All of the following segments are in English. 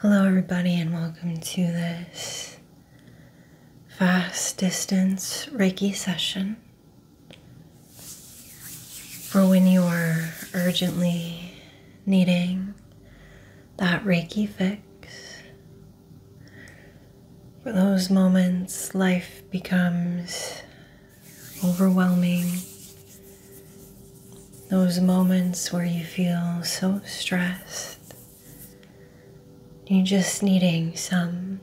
Hello, everybody, and welcome to this fast distance Reiki session for when you are urgently needing that Reiki fix. For those moments, life becomes overwhelming those moments where you feel so stressed, you're just needing some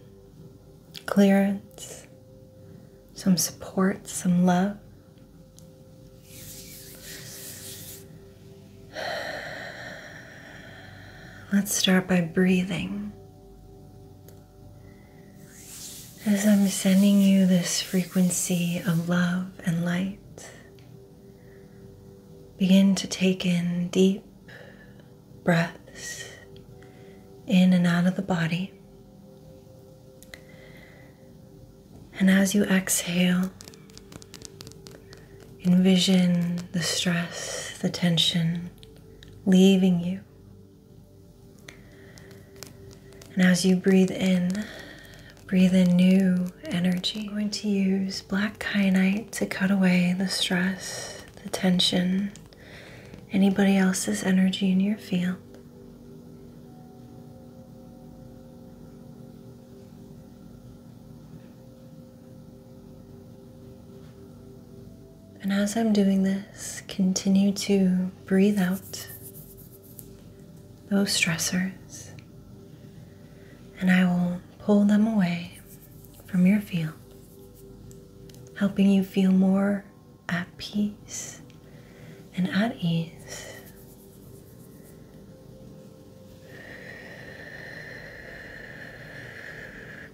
clearance, some support, some love. Let's start by breathing as I'm sending you this frequency of love and light, begin to take in deep breaths in and out of the body. And as you exhale, envision the stress, the tension leaving you and as you breathe in, breathe in new energy. I'm going to use black kyanite to cut away the stress, the tension, anybody else's energy in your field. And as I'm doing this, continue to breathe out those stressors, and I will pull them away from your field, helping you feel more at peace and at ease.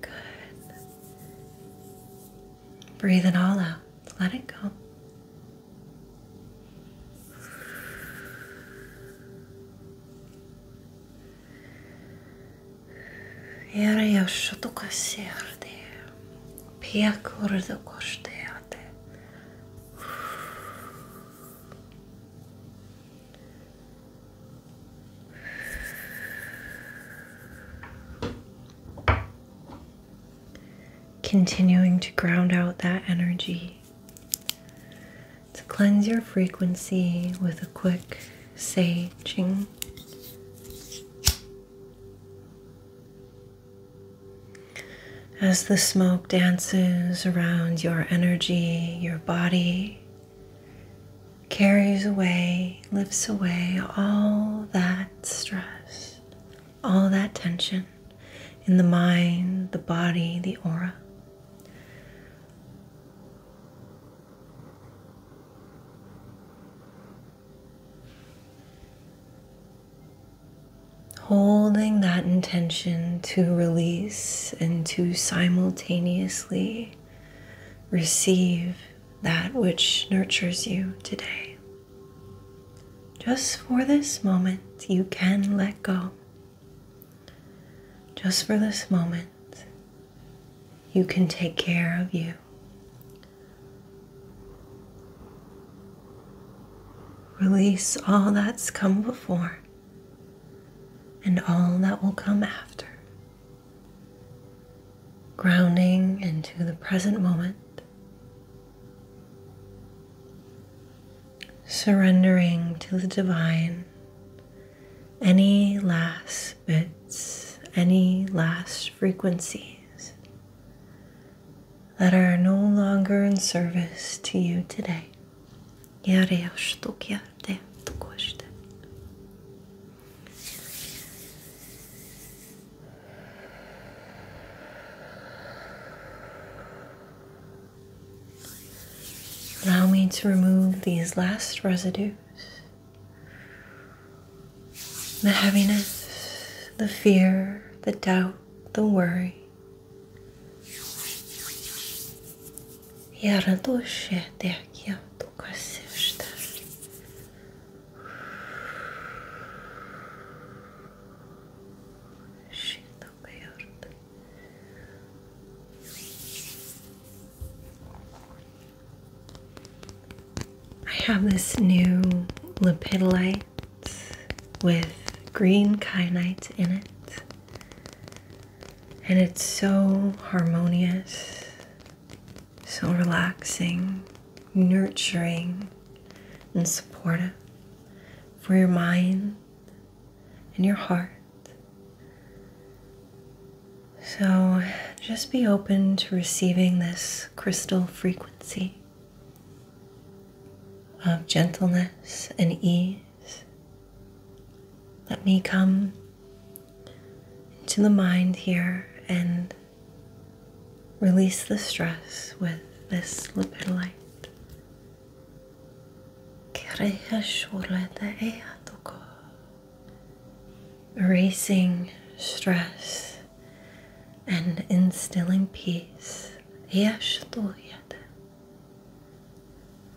Good. Breathe it all out. Let it go. Iarăși tu ca serde, piecuri de coșteate. Continuing to ground out that energy. To cleanse your frequency with a quick saging. As the smoke dances around your energy, your body carries away, lifts away all that stress, all that tension in the mind, the body, the aura. Holding that intention to release and to simultaneously receive that which nurtures you today. Just for this moment, you can let go. Just for this moment, you can take care of you. Release all that's come before and all that will come after grounding into the present moment, surrendering to the divine any last bits, any last frequencies that are no longer in service to you today. Allow me to remove these last residues the heaviness, the fear, the doubt, the worry. Şimdi bayıldı. I have this new lipidolite with green kyanite in it, and it's so harmonious so relaxing, nurturing, and supportive for your mind and your heart. So just be open to receiving this crystal frequency of gentleness and ease. Let me come into the mind here and release the stress with this lipid light. Erasing stress and instilling peace.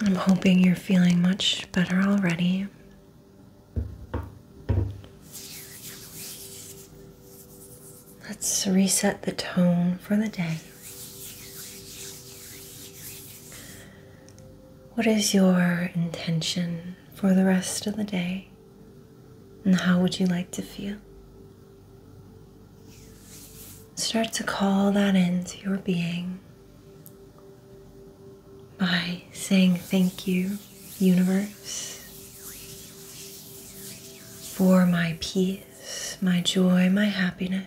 I'm hoping you're feeling much better already. Let's reset the tone for the day. What is your intention for the rest of the day? And how would you like to feel? Start to call that into your being by saying thank you, universe, for my peace, my joy, my happiness.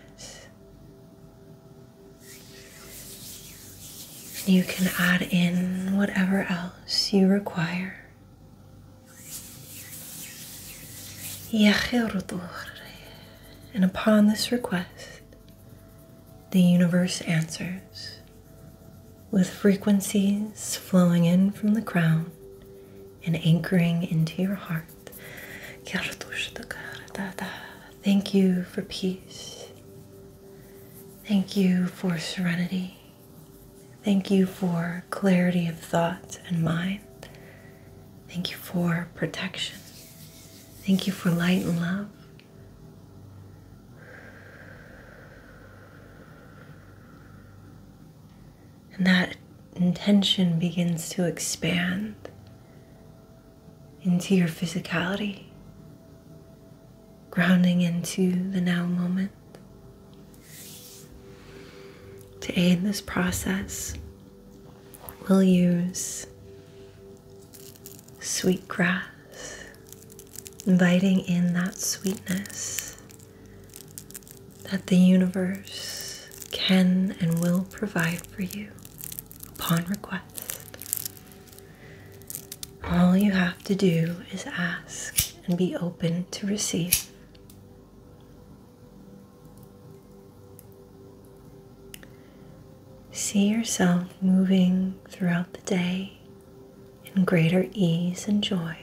you can add in whatever else you require. And upon this request, the universe answers with frequencies flowing in from the crown and anchoring into your heart. Thank you for peace. Thank you for serenity. Thank you for clarity of thought and mind. Thank you for protection. Thank you for light and love. And that intention begins to expand into your physicality, grounding into the now moment. To aid this process, we'll use sweet grass, inviting in that sweetness that the universe can and will provide for you upon request. All you have to do is ask and be open to receive. See yourself moving throughout the day in greater ease and joy.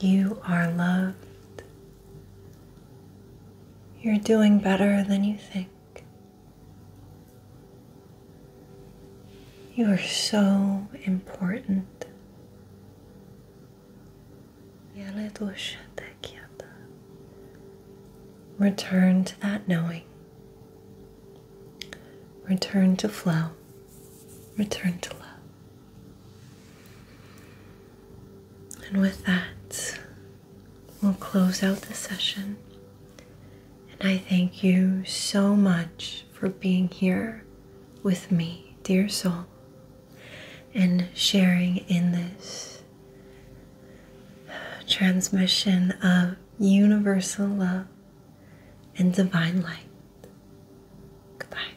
You are loved you're doing better than you think. You are so important. Return to that knowing. Return to flow. Return to love. And with that, we'll close out the session. And I thank you so much for being here with me, dear soul, and sharing in this transmission of universal love and divine light. Goodbye.